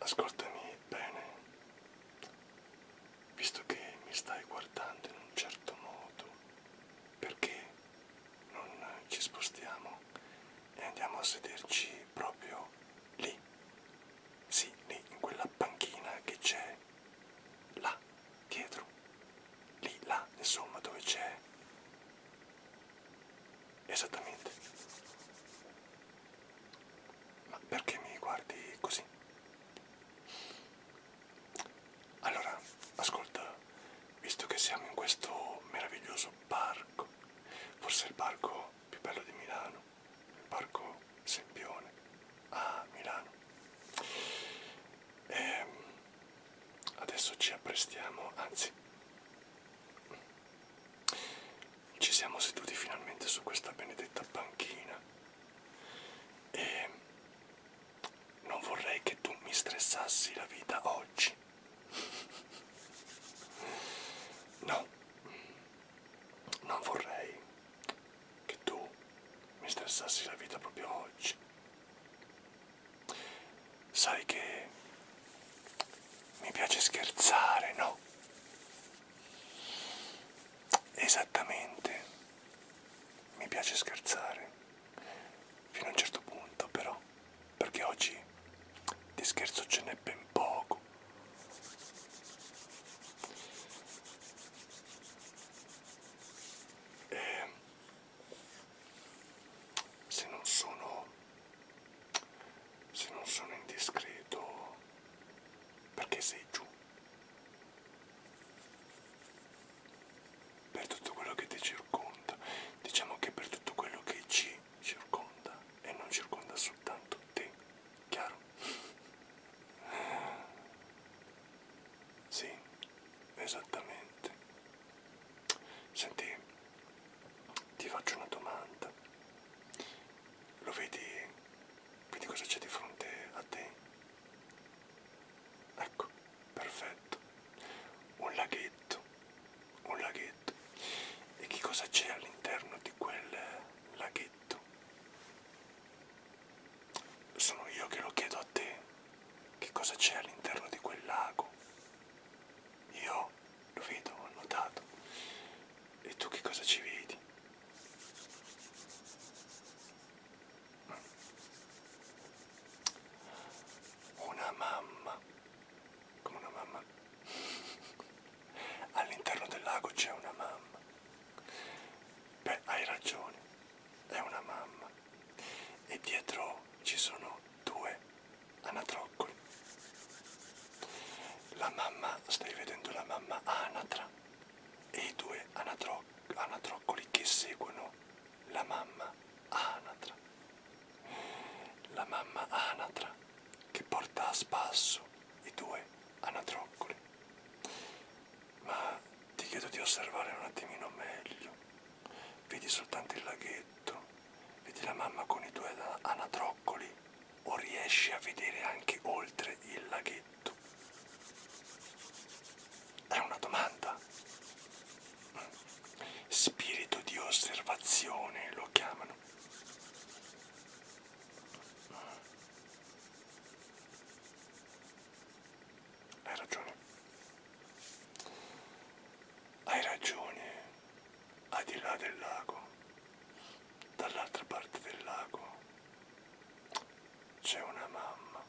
Ascoltami bene, visto che mi stai guardando in un certo modo, perché non ci spostiamo e andiamo a sederci proprio lì, sì, lì, in quella panchina che c'è là, dietro, lì, là, insomma, dove c'è Esattamente. Ma perché mi guardi così? Allora, ascolta, visto che siamo in questo meraviglioso parco, forse il parco più bello di Milano, il parco Sempione a Milano. Ehm, adesso ci apprestiamo, anzi ci siamo seduti finalmente su questa benedetta panchina e non vorrei che tu mi stressassi la vita oggi. No, non vorrei che tu mi stressassi la vita proprio oggi. Sai che mi piace scherzare, no? Esattamente, mi piace scherzare, fino a un certo punto però, perché oggi di scherzo ce n'è ben poco. E ehm, se non sono se non sono indiscreto perché sei giù per tutto quello che ti circonda diciamo che per tutto quello che ci circonda e non circonda soltanto te chiaro sì, esattamente. Senti, ti faccio una domanda. Lo vedi? Vedi cosa c'è di fronte a te? Ecco, perfetto. Un laghetto. Un laghetto. E che cosa c'è all'interno di quel laghetto? Sono io che lo chiedo a te che cosa c'è all'interno di quel lago. Io lo vedo, ho notato. E tu che cosa ci vedi? Una mamma. Come una mamma? All'interno del lago c'è una mamma. Beh, hai ragione. È una mamma e dietro ci sono due anatroccoli. La mamma, stai vedendo la mamma anatra e i due anatro anatroccoli che seguono la mamma anatra. La mamma anatra che porta a spasso i due anatroccoli. Ma ti chiedo di osservare un attimino meglio vedi soltanto il laghetto, vedi la mamma con i due anatroccoli o riesci a vedere anche oltre il laghetto? È una domanda. Spirito di osservazione lo chiamano. Hai ragione. Hai ragione. Al di là del lago, dall'altra parte del lago, c'è una mamma.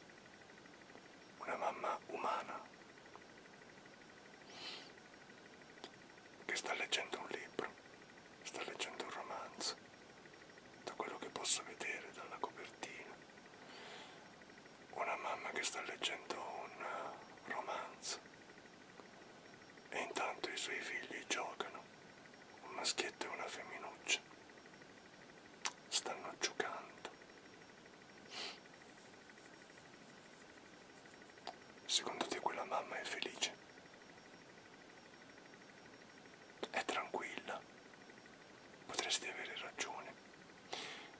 Una mamma umana. Che sta leggendo un libro, sta leggendo un romanzo, da quello che posso vedere dalla copertina una mamma che sta leggendo un eh, romanzo e intanto i suoi figli giocano, un maschietto e una femminuccia. Stanno giocando. Secondo te quella mamma è felice? È tranquilla? potresti avere ragione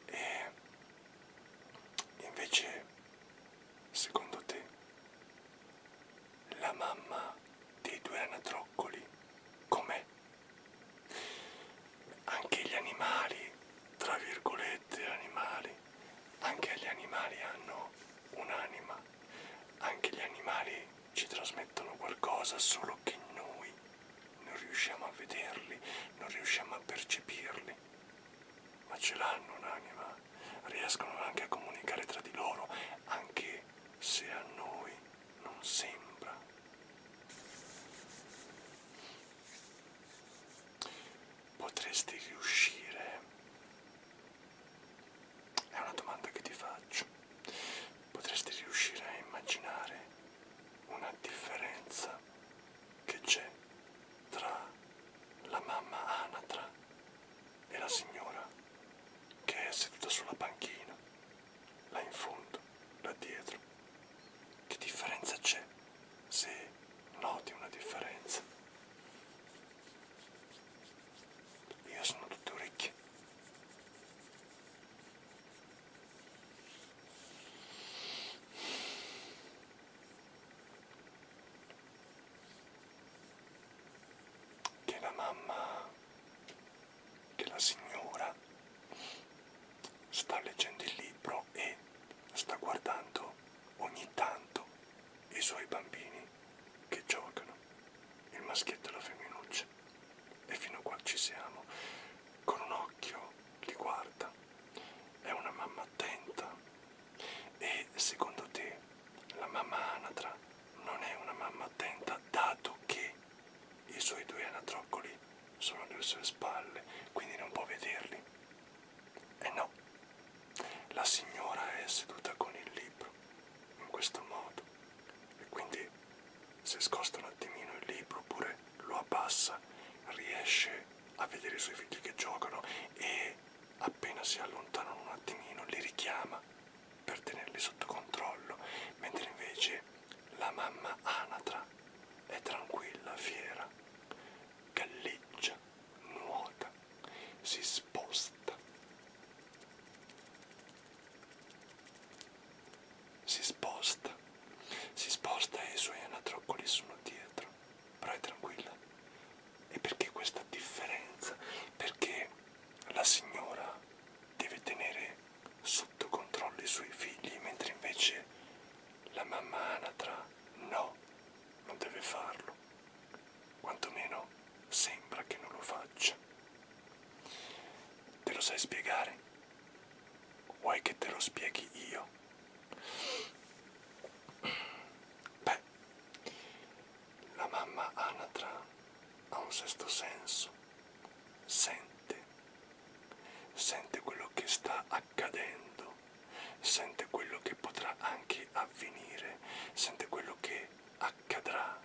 e invece secondo te la mamma dei due anatroccoli com'è? Anche gli animali, tra virgolette animali, anche gli animali hanno un'anima, anche gli animali ci trasmettono qualcosa solo che noi non riusciamo a vederli, non riusciamo a percepirli, ma ce l'hanno un'anima, riescono anche a comunicare tra di loro, anche se a noi non sembra. Potresti riuscire? È una domanda che ti faccio potreste riuscire a immaginare una differenza che c'è tra la mamma anatra e la signora che è seduta sulla panchina, là in fondo, là dietro. Che differenza c'è se noti una differenza? Io sono tutte orecchie che la mamma, che la signora sta leggendo il libro e sta guardando ogni tanto i suoi bambini che giocano, il maschietto e la femminuccia e fino a qua ci siamo, con un occhio li guarda, è una mamma attenta e secondo te la mamma anatra non è una mamma attenta dato che i suoi due anatroccoli sono alle sue spalle, quindi non può vederli? E eh no, la signora è seduta con il libro in questo modo e quindi se scosta un attimino il libro oppure lo abbassa, riesce a vedere i suoi figli che giocano e appena si allontanano un attimino li richiama per tenerli sotto controllo, mentre invece la mamma anatra è tranquilla, fiera, galleggia, nuota, si sposta si sposta, si sposta e i suoi anatroccoli sono dietro, però è tranquilla. E perché questa differenza? Perché la signora deve tenere sotto controllo i suoi figli, mentre invece la mamma anatra no, non deve farlo. Quantomeno sembra che non lo faccia. Te lo sai spiegare? Vuoi che te lo spieghi io? Beh, la mamma Anatra ha un sesto senso, sente, sente quello che sta accadendo, sente quello che potrà anche avvenire, sente quello che accadrà.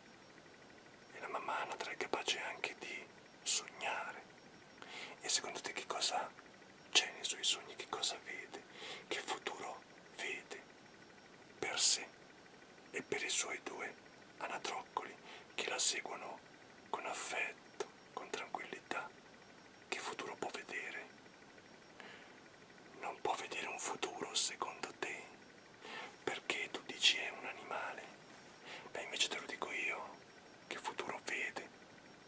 E la mamma Anatra è capace anche di sognare e secondo te che cosa c'è nei suoi sogni, che cosa vede, che futuro vede per sé e per i suoi due anatroccoli che la seguono con affetto, con tranquillità, che futuro può vedere? Non può vedere un futuro secondo te? Perché tu dici è un animale? Beh, invece te lo dico io, che futuro vede,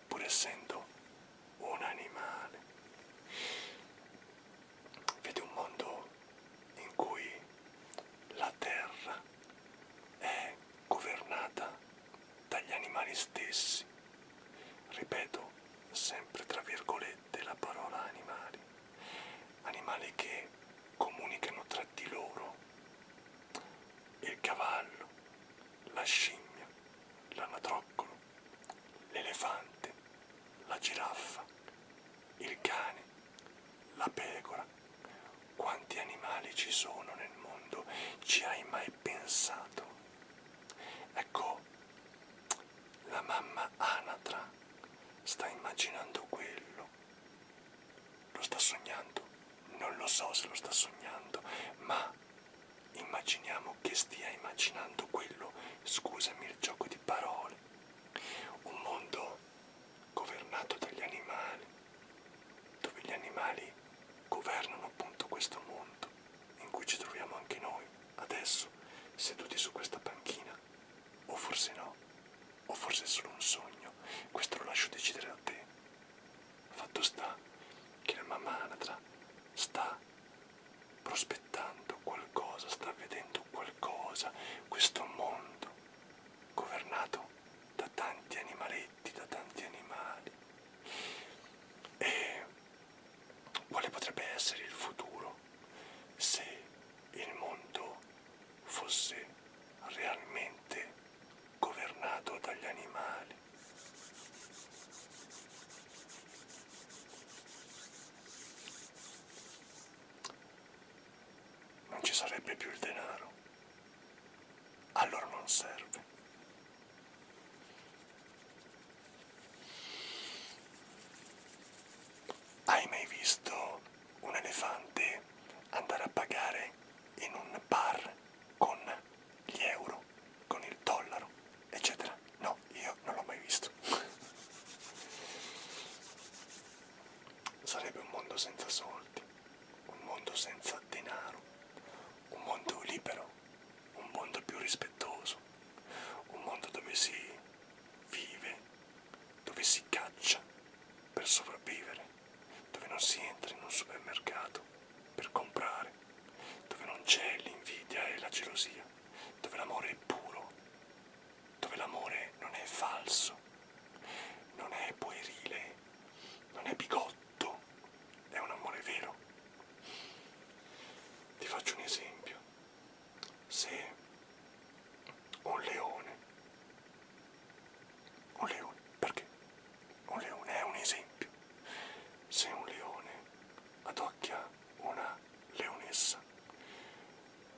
pur essendo un animale. Vede un mondo in cui la terra è governata dagli animali stessi. Ripeto sempre tra virgolette la parola animali animali che comunicano tra di loro. Il cavallo, la scimmia, l'anatroccolo, l'elefante, la giraffa, il cane, la pecora. Quanti animali ci sono nel mondo? Ci hai mai pensato? Ecco, la mamma anatra sta immaginando quello sognando. Lo sta sognando? Non lo so se lo sta sognando, ma immaginiamo che stia immaginando quello, scusami il gioco di parole, un mondo governato dagli animali, dove gli animali governano appunto questo mondo in cui ci troviamo anche noi, adesso, seduti su questa panchina, o forse no, o forse è solo un sogno, questo lo lascio decidere a te. Fatto sta che la mamma anatra sta prospettando qualcosa, sta vedendo qualcosa, questo mondo governato da tanti animaletti, da tanti animali. E quale potrebbe essere il futuro se il mondo fosse realmente governato dagli animali. Non ci sarebbe più il denaro, allora non serve. Hai mai visto un elefante andare a pagare in un bar con gli euro, con il dollaro, eccetera. No, io non l'ho mai visto. Sarebbe un mondo senza soldi, un mondo senza denaro, un mondo libero, un mondo più rispettoso, un mondo dove si vive dove si caccia per sopravvivere, dove non si entra in un supermercato per comprare, dove non c'è l'invidia e la gelosia, dove l'amore è puro, dove l'amore non è falso, non è puerile, non è bigotto, è un amore vero. Ti faccio un esempio. Se un leone un leone, perché? Un leone è un esempio. Se un leone adocchia una leonessa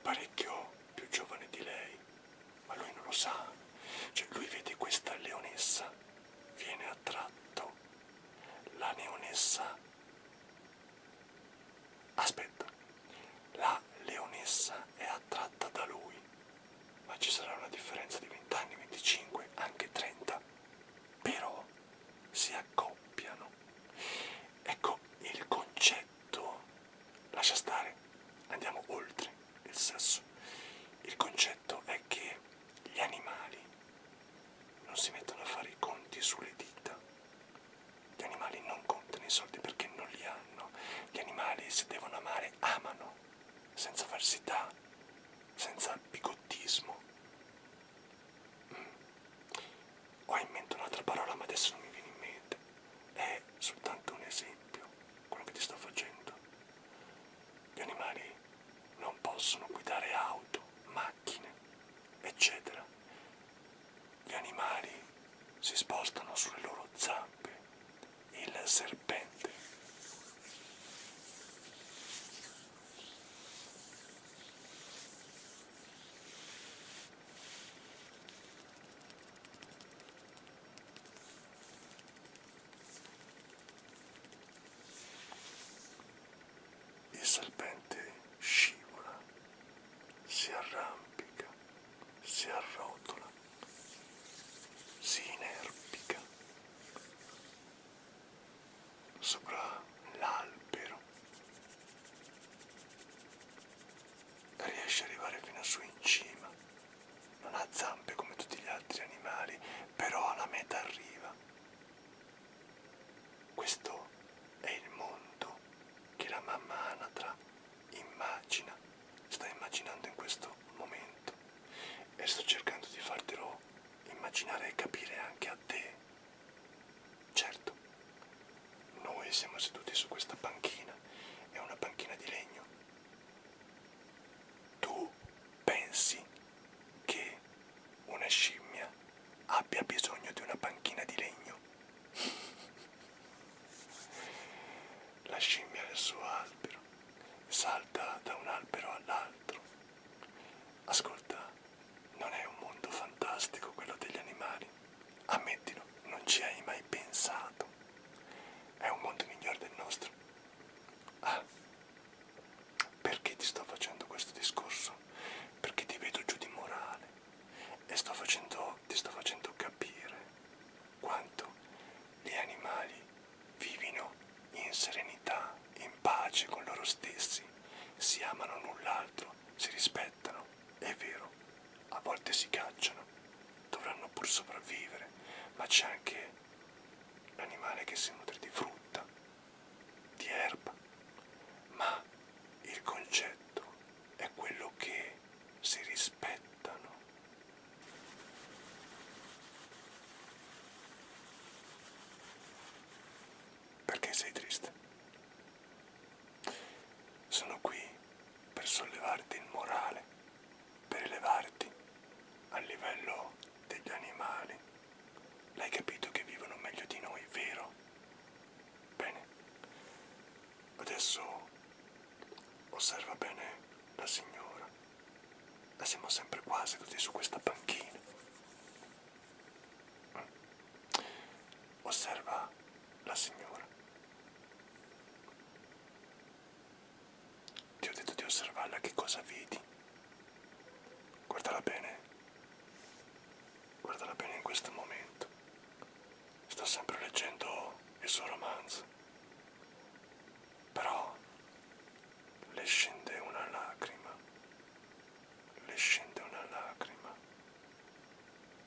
parecchio più giovane di lei, ma lui non lo sa, cioè lui vede questa leonessa, viene attratto, la leonessa Aspetta, la leonessa è attratta da lui, ma ci sarà una differenza di 20 anni, 25, anche 30. Però si accoppiano. Ecco il concetto. Lascia stare, andiamo oltre il sesso. Il concetto è che gli animali non si mettono a fare i conti sulle dita gli animali non contano i soldi perché non li hanno. Gli animali se devono amare amano, senza falsità, senza bigottismo. Mm. Ho in mente un'altra parola ma adesso non mi viene in mente. È soltanto un esempio, quello che ti sto facendo. Gli animali non possono guidare auto, macchine, eccetera. Gli animali si spostano sulle loro zampe. Il serpente. Il serpente scivola si arrampica, si arrotola, si inerpica sopra l'albero riesce ad arrivare fino su in cima non ha zampe come tutti gli altri animali però alla meta arriva questo è il mondo che la mamma anatra Immagina, stai immaginando in questo momento e sto cercando di fartelo immaginare e capire anche a te. Certo, noi siamo seduti su questa panchina, è una panchina di legno. Tu pensi che una scimmia abbia bisogno di una panchina di legno? La scimmia nel suo albero salta da un albero all'altro. Ascolta, non è un mondo fantastico quello degli animali. Ammettilo, non ci hai mai pensato. È un mondo migliore del nostro. Ah, perché ti sto facendo questo discorso? Perché ti vedo giù di morale e sto facendo però ti sto facendo capire quanto gli animali vivino in serenità, in pace con loro stessi, si amano l'un l'altro, si rispettano, è vero, a volte si cacciano, dovranno pur sopravvivere, ma c'è anche l'animale che si nutre di frutta, di erba, ma il concetto è quello che si rispettano. Perché sei triste? Sono qui per sollevarti il morale, per elevarti al livello degli animali. L'hai capito che vivono meglio di noi, vero? Bene, adesso osserva bene la signora. La siamo sempre qua seduti su questa panchina. Mm. Osserva la signora. Ti ho detto di osservarla che cosa vedi. Guardala bene. Guardala bene in questo momento sto sempre leggendo il suo romanzo, però le scende una lacrima, le scende una lacrima,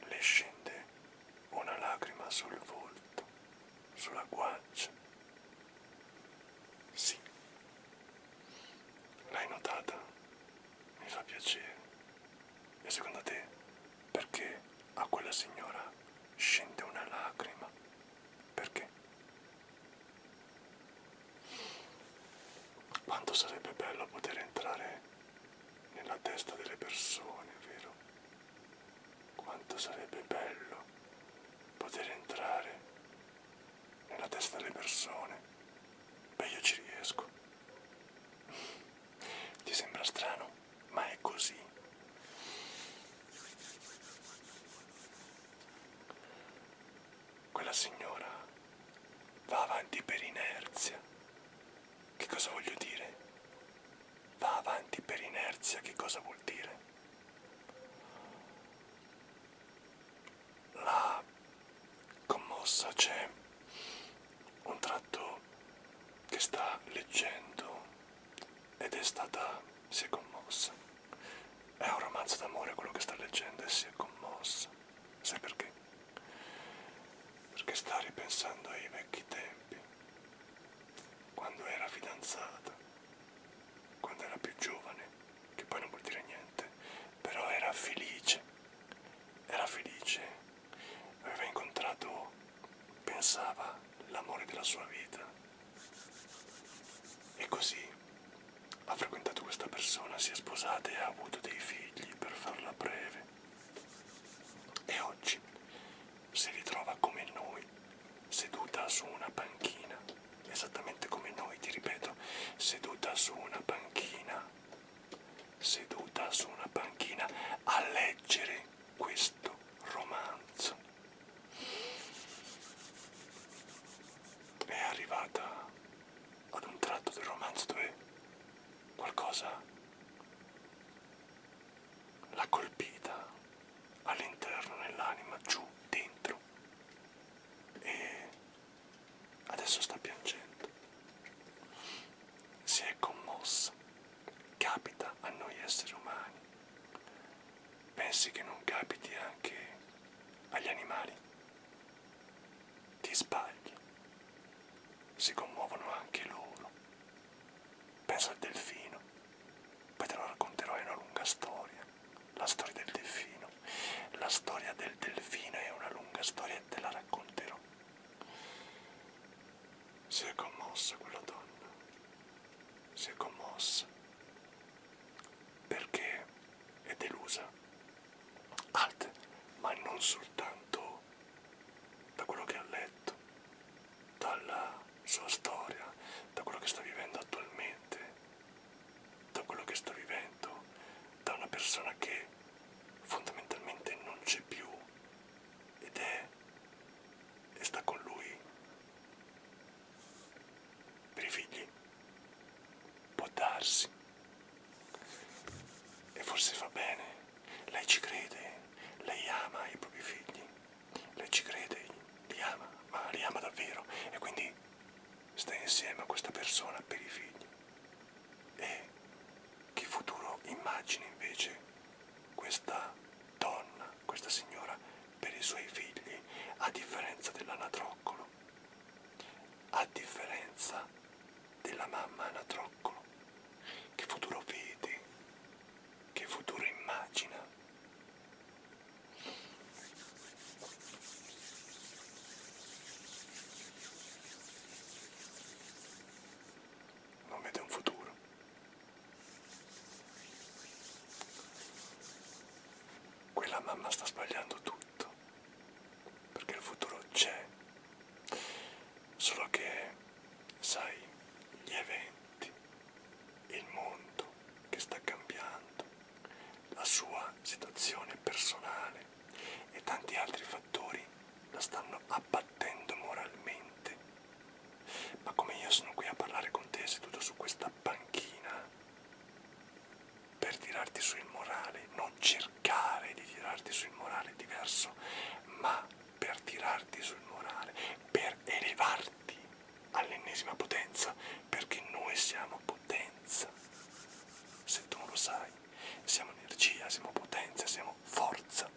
le scende una lacrima sul volto, sulla guancia. Sì, l'hai notata? mi fa piacere. E secondo te, perché a quella signora scende una lacrima? Perché? Quanto sarebbe bello poter entrare nella testa delle persone, vero? Quanto sarebbe bello poter entrare nella testa delle persone. Beh, io ci riesco. Ti sembra strano, ma è così. Quella signora va avanti per inerzia. Che cosa voglio dire? Va avanti per inerzia, che cosa vuol dire? La commossa c'è un tratto che sta leggendo ed è stata, si è commossa. È un romanzo d'amore quello che sta leggendo e si è commossa. Sai perché? Perché sta ripensando ai vecchi tempi, quando era fidanzata, quando era più giovane, che poi non vuol dire niente, però era felice, era felice aveva incontrato, pensava, l'amore della sua vita. E così ha frequentato questa persona, si è sposata e ha avuto dei figli, per farla breve. E oggi si ritrova come noi, seduta su una panchina, esattamente come noi, ti ripeto, seduta su una panchina seduta su una panchina a leggere questo romanzo. È arrivata ad un tratto del romanzo dove qualcosa l'ha colpita all'interno, nell'anima, giù, dentro e Adesso sta piangendo. Si è commossa. Capita a noi esseri umani. Pensi che non capiti anche agli animali? Ti sbagli. Si commuovono anche loro. Pensa al delfino. Poi te lo racconterò, è una lunga storia. La storia del delfino. La storia del delfino è una lunga storia e te la racconterò pensiero. Si è commossa quella donna, si è commossa perché è delusa. Alt, ma non soltanto da quello che ha letto, dalla sua storia, da quello che sta vivendo attualmente, da quello che sta vivendo, da una persona che fondamentalmente non c'è più ed è e sta con lui per i figli può darsi e forse fa bene lei ci crede lei ama i propri figli lei ci crede li ama ma li ama davvero e quindi sta insieme a questa persona per i figli e che futuro immagina invece questa donna, questa signora, per i suoi figli, a differenza dell'anatroccolo, a differenza della mamma anatroccolo? Che futuro vede? Che futuro immagina? Non vede un futuro. Quella mamma sta sbagliando tutto, perché il futuro c'è, solo che, sai, gli eventi, il mondo che sta cambiando, la sua situazione personale e tanti altri fattori la stanno abbattendo moralmente. Ma come io sono qui a parlare con te seduto su questa panchina per tirarti su il morale, non cercare di tirarti sul morale diverso, ma per tirarti sul morale, per elevarti all'ennesima potenza, perché noi siamo potenza, se tu non lo sai siamo energia, siamo potenza, siamo forza.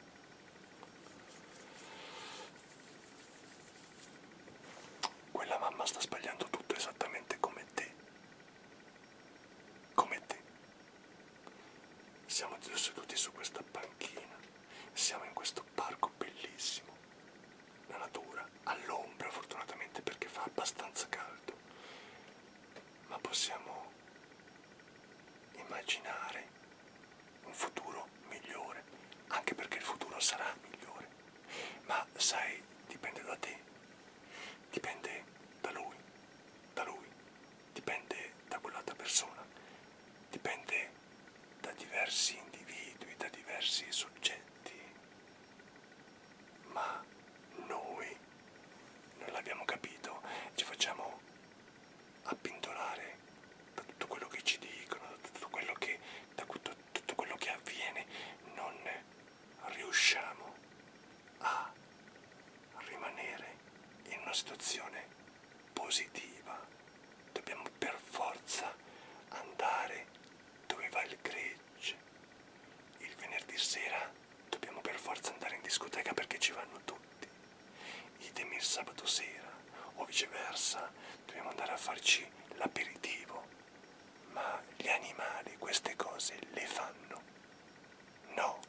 Quella mamma sta sbagliando tutto esattamente come te. Come te. Siamo seduti su questa panchina, siamo in questo parco bellissimo. La natura all'ombra fortunatamente perché fa abbastanza caldo ma possiamo immaginare un futuro migliore, anche perché il futuro sarà migliore. Ma sai, dipende da te, dipende da lui, da lui, dipende da quell'altra persona, dipende da diversi individui, da diversi soggetti ma noi non l'abbiamo capito, ci facciamo appintolare da tutto quello che ci dicono, da tutto quello che, da tutto, tutto quello che avviene, non riusciamo a rimanere in una situazione positiva, dobbiamo per forza andare dove va il credito legge. Il venerdì sera dobbiamo per forza andare in discoteca perché ci vanno tutti. Idem il sabato sera, o viceversa, dobbiamo andare a farci l'aperitivo. Ma gli animali queste cose le fanno. No,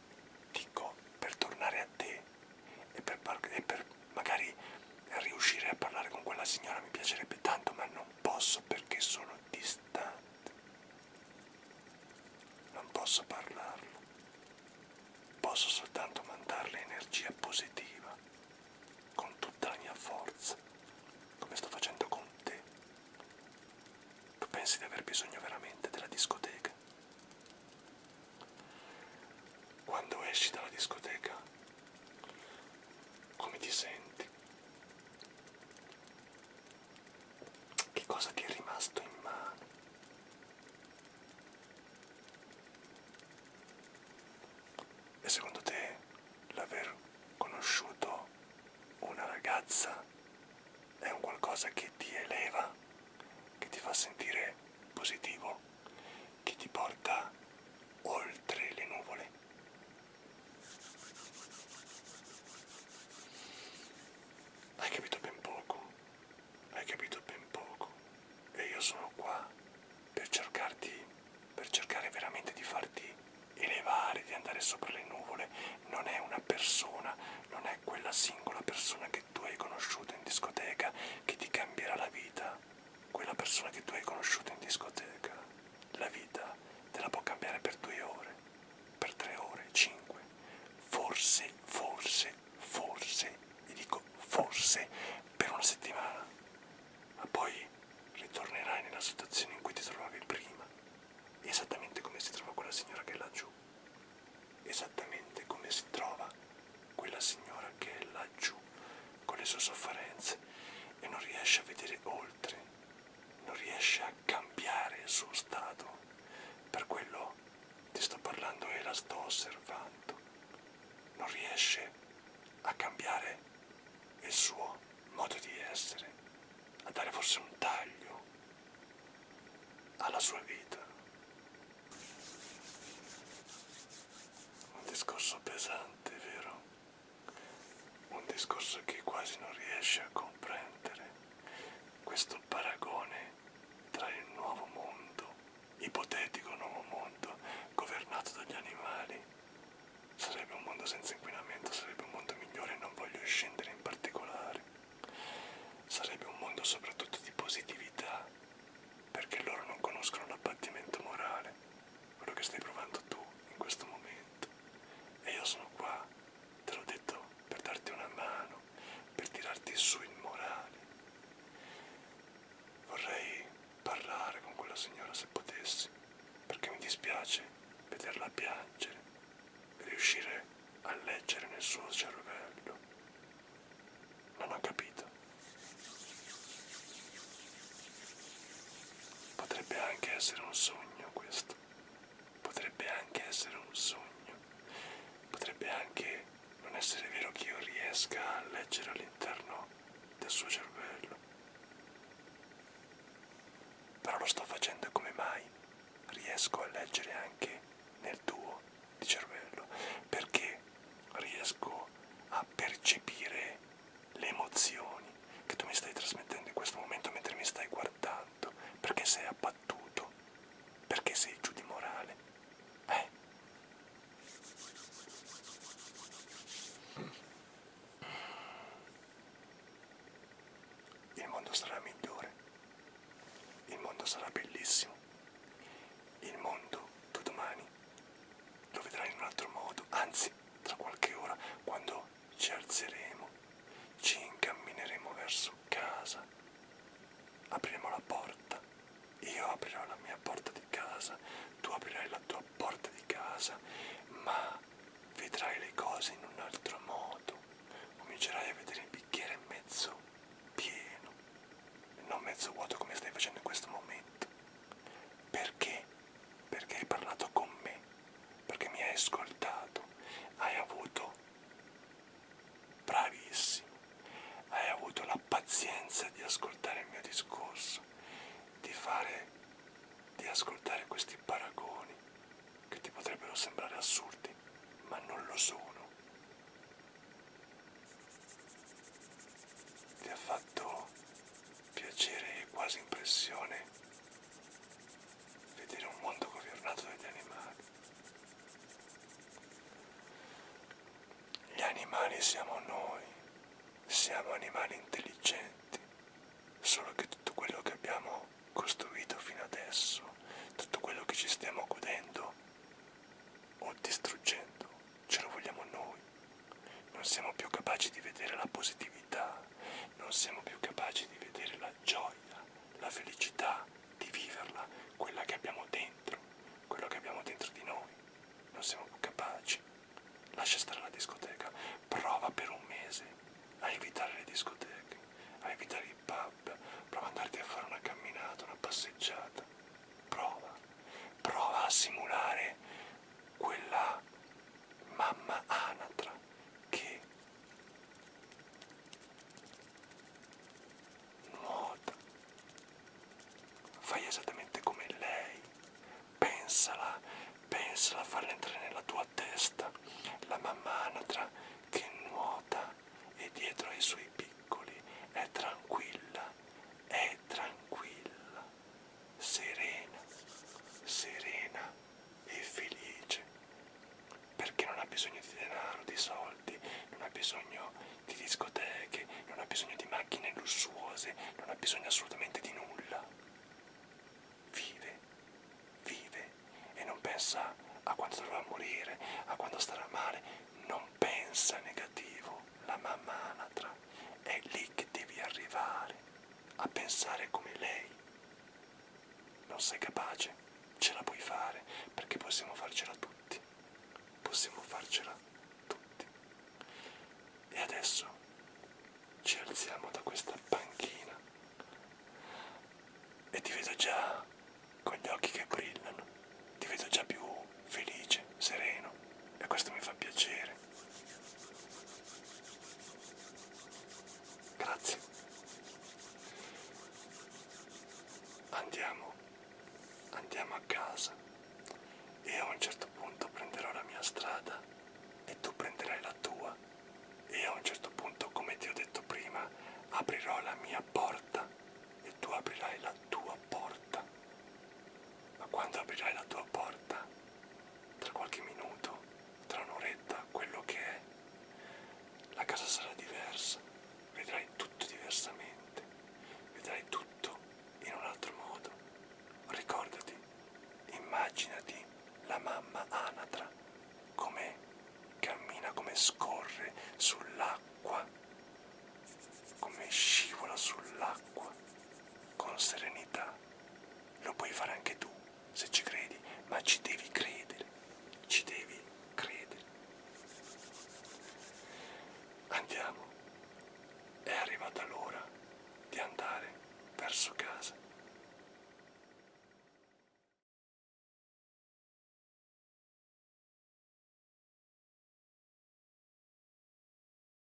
dico, per tornare a te e per, e per magari riuscire a parlare con quella signora mi piacerebbe tanto, ma non posso perché sono distante. Non posso parlarlo, posso soltanto mandarle energia positiva, con tutta la mia forza, come sto facendo con te. Tu pensi di aver bisogno veramente della discoteca? Quando esci dalla discoteca, come ti senti? Che cosa ti è rimasto in mano? E secondo te l'aver conosciuto una ragazza è un qualcosa che ti eleva, che ti fa sentire positivo, che ti porta oltre le nuvole? Hai capito ben poco, hai capito ben poco e io sono qua per cercarti, per cercare veramente di farti elevare, di andare sopra le nuvole. Non è una persona, non è quella singola persona che tu hai conosciuto in discoteca che ti cambierà la vita, quella persona che tu hai conosciuto in discoteca la vita te la può cambiare per due ore, per tre ore, cinque. Forse, forse, forse, vi dico forse, per una settimana. Ma poi ritornerai nella situazione in cui ti trovavi prima. Esattamente come si trova quella signora che è laggiù. Esattamente come si trova quella signora che è laggiù con le sue sofferenze e non riesce a vedere oltre non riesce a cambiare il suo stato. Per quello ti sto parlando e la sto osservando. Non riesce a cambiare il suo modo di essere, a dare forse un taglio alla sua vita. Un discorso pesante, vero? un discorso che quasi non riesce a comprendere, questo paragone tra il nuovo mondo, ipotetico nuovo mondo, governato dagli animali. Sarebbe un mondo senza inquinamento, sarebbe un mondo migliore, non voglio scendere in particolare. Sarebbe un mondo soprattutto di positività, perché loro non conoscono l'abbattimento morale quello che stai provando tu in questo momento e io sono qua, te l'ho detto, per darti una mano, per tirarti su il morale. Vorrei parlare con quella signora se potessi, perché mi dispiace vederla piangere e riuscire a leggere nel suo cervello. Non ho capito. Potrebbe anche essere un sogno questo. Potrebbe anche essere un sogno. Potrebbe anche non essere vero che io riesca a leggere all'interno del suo cervello. Però lo sto facendo come mai riesco a leggere anche nel tuo di cervello. Perché riesco a percepire le emozioni che tu mi stai trasmettendo in questo momento mentre mi stai guardando, perché sei abbattuto, perché sei giù di morale. Beh. Il mondo sarà migliore, il mondo sarà bellissimo, il mondo tu domani lo vedrai in un altro modo, anzi tra qualche ora quando ci alzeremo, ci incammineremo verso casa, apriremo la porta, io aprirò la mia porta di casa, tu aprirai la tua porta di casa, ma vedrai le cose in un altro modo, comincerai a vedere il bicchiere mezzo pieno e non mezzo vuoto come stai facendo in questo momento, perché perché hai parlato con me, perché mi hai ascoltato, hai avuto, bravissimo, hai avuto la pazienza di ascoltare il mio discorso, di fare, di ascoltare questi paragoni che ti potrebbero sembrare assurdi, ma non lo sono. Ti ha fatto piacere e quasi impressione vedere un mondo governato dagli animali. Gli animali siamo noi, siamo animali intelligenti, solo che tutto quello che abbiamo costruito fino adesso, tutto quello che ci stiamo godendo o distruggendo, ce lo vogliamo noi non siamo più capaci di vedere la positività, non siamo più capaci di vedere la gioia, la felicità, di viverla, quella che abbiamo dentro, quello che abbiamo dentro di noi. Non siamo più capaci. Lascia stare la discoteca, prova per un mese a evitare le discoteche, a evitare i pub, prova ad andarti a fare una camminata, una passeggiata. Prova, prova a simulare quella mamma anatra che nuota. Fai esattamente come lei. Pensala, pensala a farla entrare nella tua testa. La mamma anatra che nuota e dietro ai suoi piccoli è tranquilla, è tranquilla serena, serena e felice, perché non ha bisogno di denaro, di soldi, non ha bisogno di discoteche, non ha bisogno di macchine lussuose, non ha bisogno assolutamente di nulla. Vive, vive e non pensa a quando dovrà morire, a quando starà male, non pensa negativo, la mamma anatra, è lì che devi arrivare a pensare come lei. Non sei capace, ce la puoi fare, perché possiamo farcela tutti. Possiamo farcela tutti. E adesso ci alziamo da questa panchina e ti vedo già con gli occhi che brillano, ti vedo già più felice, sereno e questo mi fa piacere. Grazie. Andiamo, andiamo a casa e a un certo punto prenderò la mia strada e tu prenderai la tua e a un certo punto, come ti ho detto prima, aprirò la mia porta e tu aprirai la tua porta. Ma quando aprirai la tua porta, tra qualche minuto, tra un'oretta, quello che è, la casa sarà diversa, vedrai tutto diversamente, vedrai tutto in un altro modo. Ricordati, immaginati la mamma anatra come cammina, come scorre sull'acqua, come scivola sull'acqua con serenità lo puoi fare anche tu se ci credi, ma ci devi credere, ci devi credere. Andiamo, è arrivata l'ora di andare verso casa.